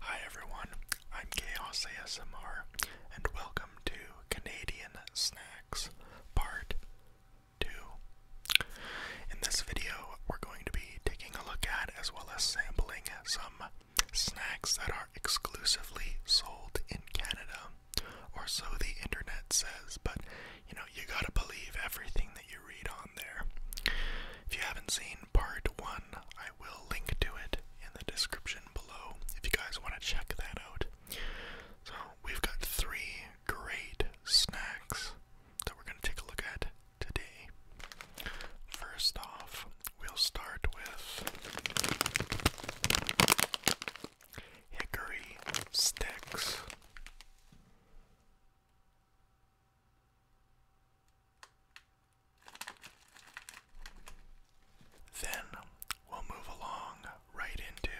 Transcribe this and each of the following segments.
Hi everyone, I'm Chaos ASMR, and welcome to Canadian Snacks Part 2. In this video, we're going to be taking a look at as well as sampling some snacks that are exclusively sold in Canada, or so the internet says, but you know, you gotta believe everything that you read on there. If you haven't seen part one, I will link to it in the description below if you guys want to check that out. So, we've got three great snacks that we're going to take a look at today. First off, we'll start with hickory sticks. Then we'll move along right into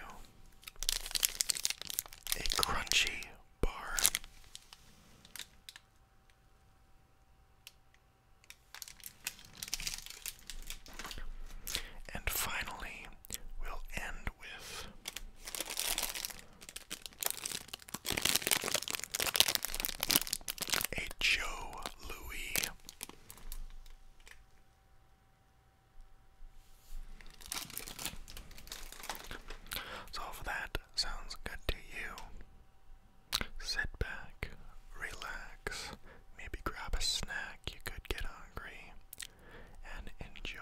a crunchy bar. And finally, we'll end with a Joe Louis. So if that sounds good to you, sit back, relax, maybe grab a snack, you could get hungry, and enjoy.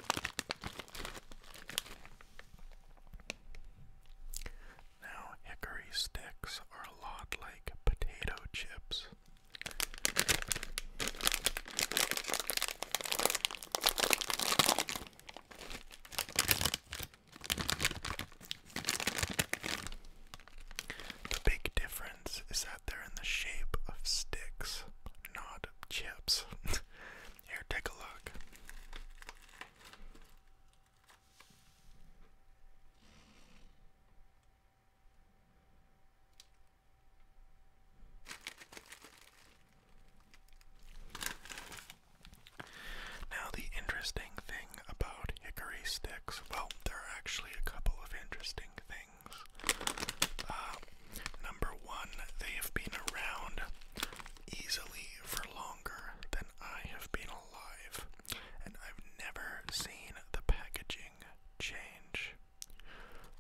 Now, hickory sticks are a lot like potato chips. The big difference is that they're in the shape of sticks, not chips. Here, take a look. Now, the interesting thing about hickory sticks, well, there are actually a couple of interesting things. Uh, number one, they have been around easily for longer than I have been alive, and I've never seen the packaging change.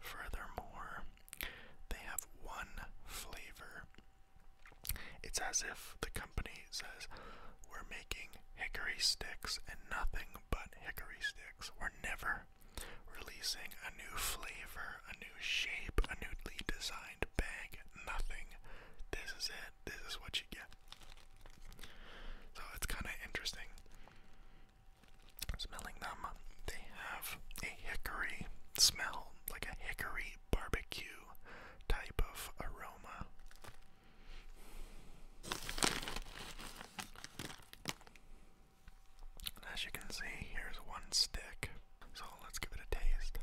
Furthermore, they have one flavor. It's as if the company says, We're making hickory sticks and nothing but hickory sticks. We're never releasing a new flavor, a new shape, a newly designed bag. Nothing. This is it. This is what you get. So it's kind of interesting. Smelling them, they have a hickory smell, like a hickory barbecue type of aroma as you can see, here's one stick. So let's give it a taste.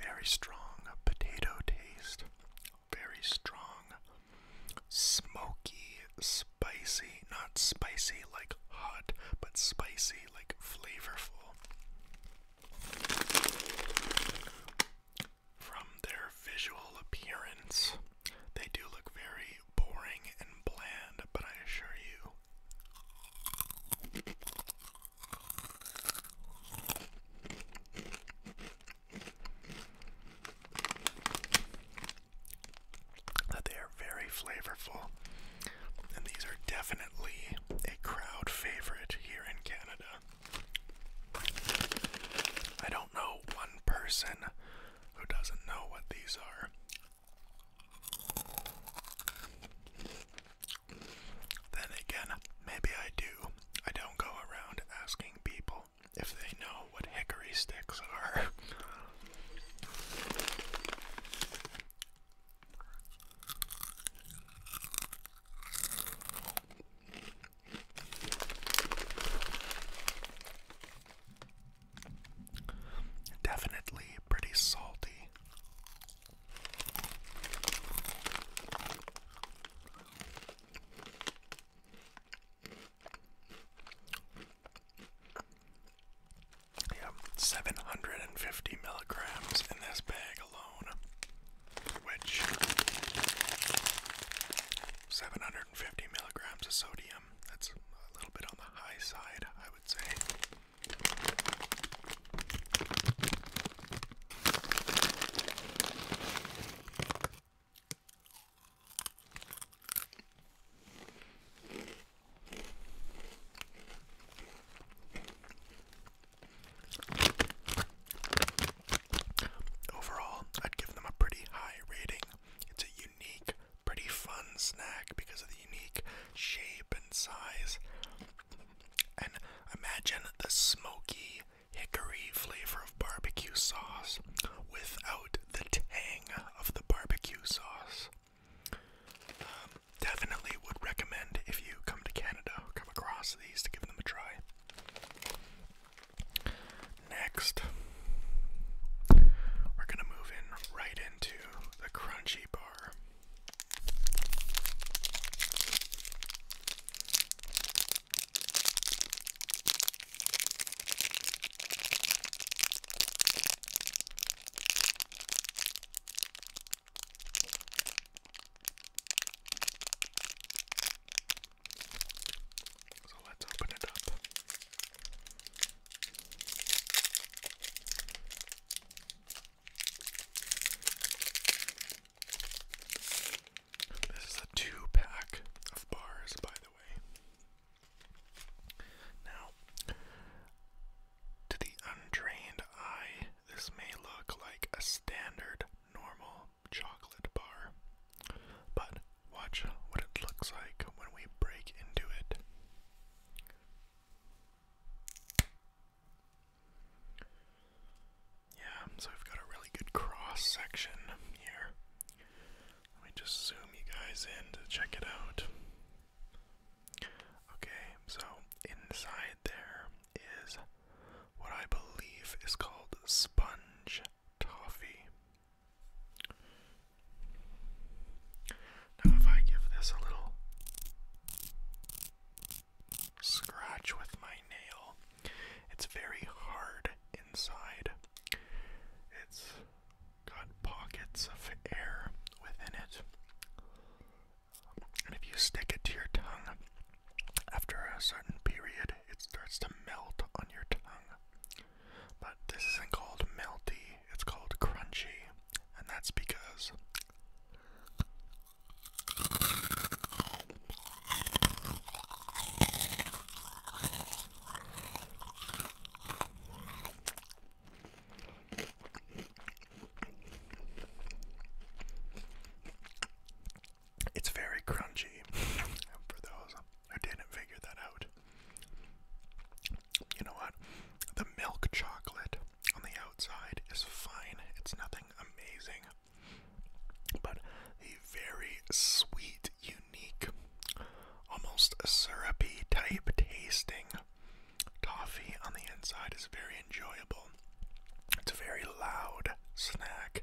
Very strong potato taste. Very strong, smoky, spicy. Not spicy like hot, but spicy like flavorful from their visual appearance. They do look very boring and bland, but I assure you that they are very flavorful and these are definitely a crowd favorite here in Canada. I don't know one person who doesn't know what these are. Then again, maybe I do. I don't go around asking people if they know what hickory sticks are. Definitely pretty salty. Yeah, 750 milligrams in this bag alone, which 750 milligrams of sodium, that's a little bit on the high side, I would say. Overall, I'd give them a pretty high rating. It's a unique, pretty fun snack because of the unique shape and size. And imagine the smoky, hickory flavor of barbecue sauce without the tang of the barbecue sauce. Um, definitely would recommend if you come to Canada come across these to give them a try. Next, we're going to move in right into the crunchy bar. So let's open it up. This is a two pack of bars, by the way. Now, to the untrained eye, this may look like a standard normal chocolate bar, but watch what it looks like when we break into it. Yeah, so we've got a really good cross section here. Let me just zoom you guys in to check it out. Okay, so inside there is what I believe is called sponge toffee. Now, if I give this a little scratch with my nail, it's very hard inside. It's got pockets of air within it. And if you stick it to your tongue, after a certain period, it starts to melt on your tongue. But this isn't called melty, it's called crunchy. And that's because it's very crunchy for those who didn't figure that out. You know what? The milk chocolate on the outside is fine, it's nothing amazing. But the very sweet, unique, almost syrupy type tasting Toffee on the inside is very enjoyable. It's a very loud snack.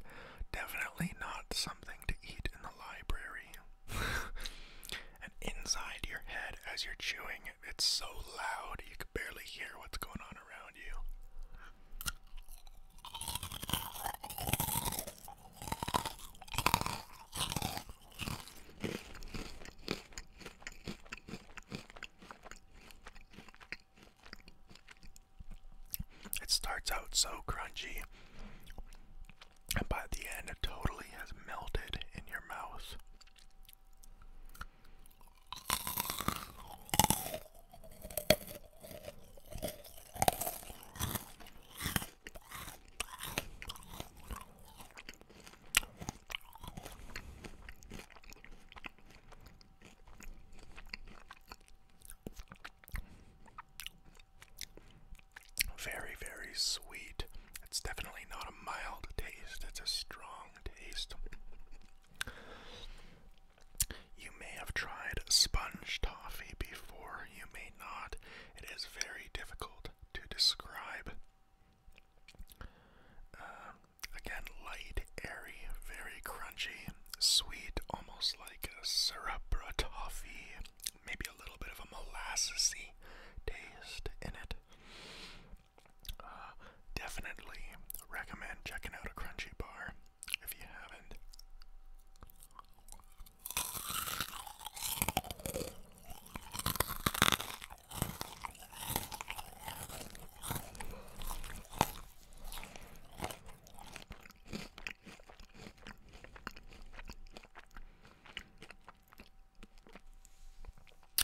Definitely not something to eat in the library. and inside your head as you're chewing, it's so loud you can barely hear what's going on around you. It starts out so crunchy, and by the end, it totally has melted in your mouth. Very, very sweet. It's definitely not a mild taste, it's a strong taste. You may have tried sponge toffee before, you may not. It is very difficult to describe. Uh, again, light, airy, very crunchy, sweet, almost like a syrup or toffee, maybe a little bit of a molassesy taste in it. Uh, definitely recommend checking out a crunchy bar if you haven't.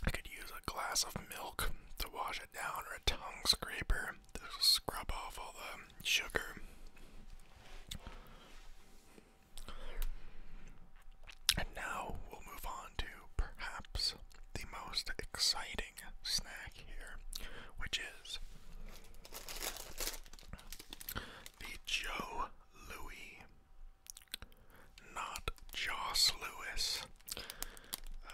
I could use a glass of milk to wash it down or a tongue scraper to scrub off all the sugar. And now we'll move on to perhaps the most exciting snack here, which is the Joe Louis. Not Joss Lewis. Uh,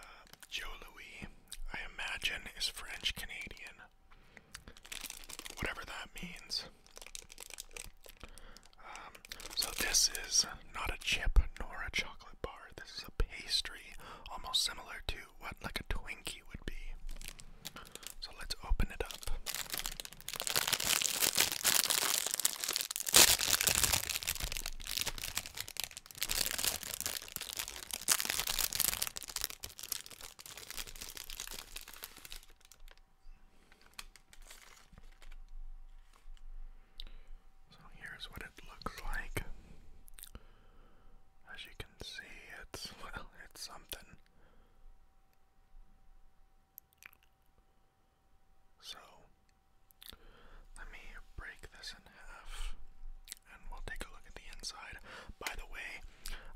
Joe Louis, I imagine, is French Canadian. Whatever that means. Um, so this is not a chip nor a chocolate bar. This is a pastry, almost similar to what like a Twinkie would be. So let's open it up. So here's what it looks like. As you can see, it's, well, it's something. So, let me break this in half and we'll take a look at the inside. By the way,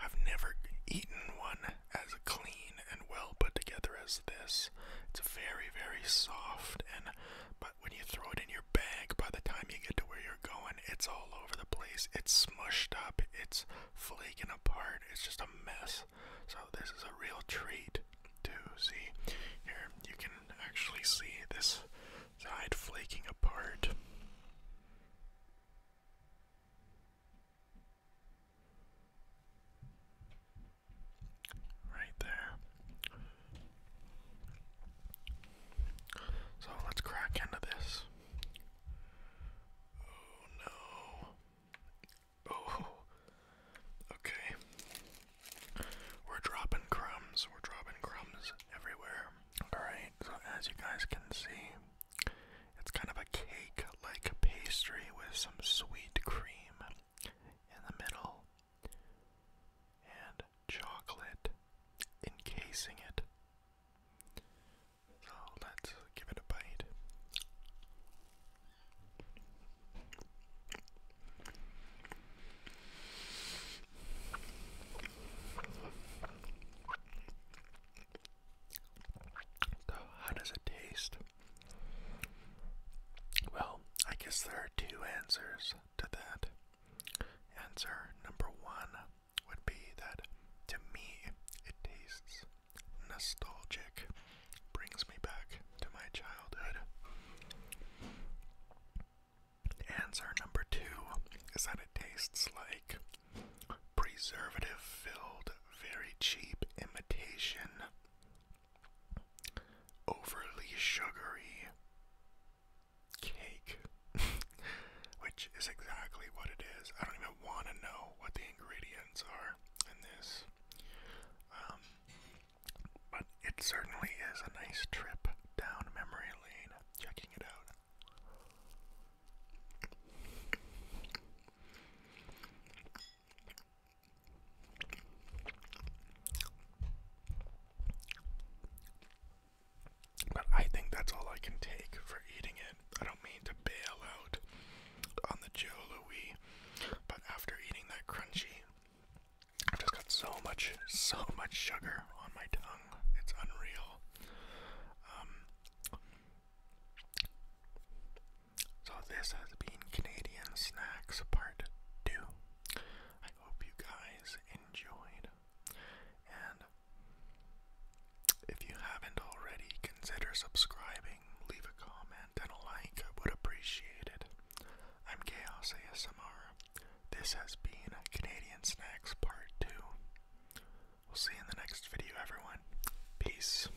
I've never eaten one as clean and well put together as this. It's very, very soft, and but when you throw it in your bag, by the time you get to where you're going, it's all over the place. It's smushed up, it's flaking apart, it's just a mess. So, this is a real treat to see. Here, you can actually see this side flaking apart. Right there. So let's crack into this. Oh no. Oh. Okay. We're dropping crumbs. We're dropping crumbs everywhere. Alright, so as you guys can see, it's kind of a cake like pastry with some sweet cream in the middle and chocolate encasing it. So let's give it a bite. So, how does it taste? Well, I guess there are two answers to that. Answer number one would be that to me it tastes nostalgic, brings me back to my childhood. Answer number two is that it tastes like preservative filled, very cheap imitation overly sugary cake, which is exactly what it is. I don't even want to know what the ingredients are in this, um, but it certainly is a nice trip down memory lane. Checking it out. But I think that's all I can take for eating it. I don't mean to bail out on the Joe Louis, but after eating that crunchy, I've just got so much, so much sugar on my tongue. It's unreal. Um, so, this has been Canadian Snacks Part 2. I hope you guys enjoyed. And if you haven't already, consider subscribing, leave a comment, and a like. I would appreciate it. I'm Chaos ASMR. This has been Canadian Snacks Part 2. We'll see in the next video, everyone. Peace.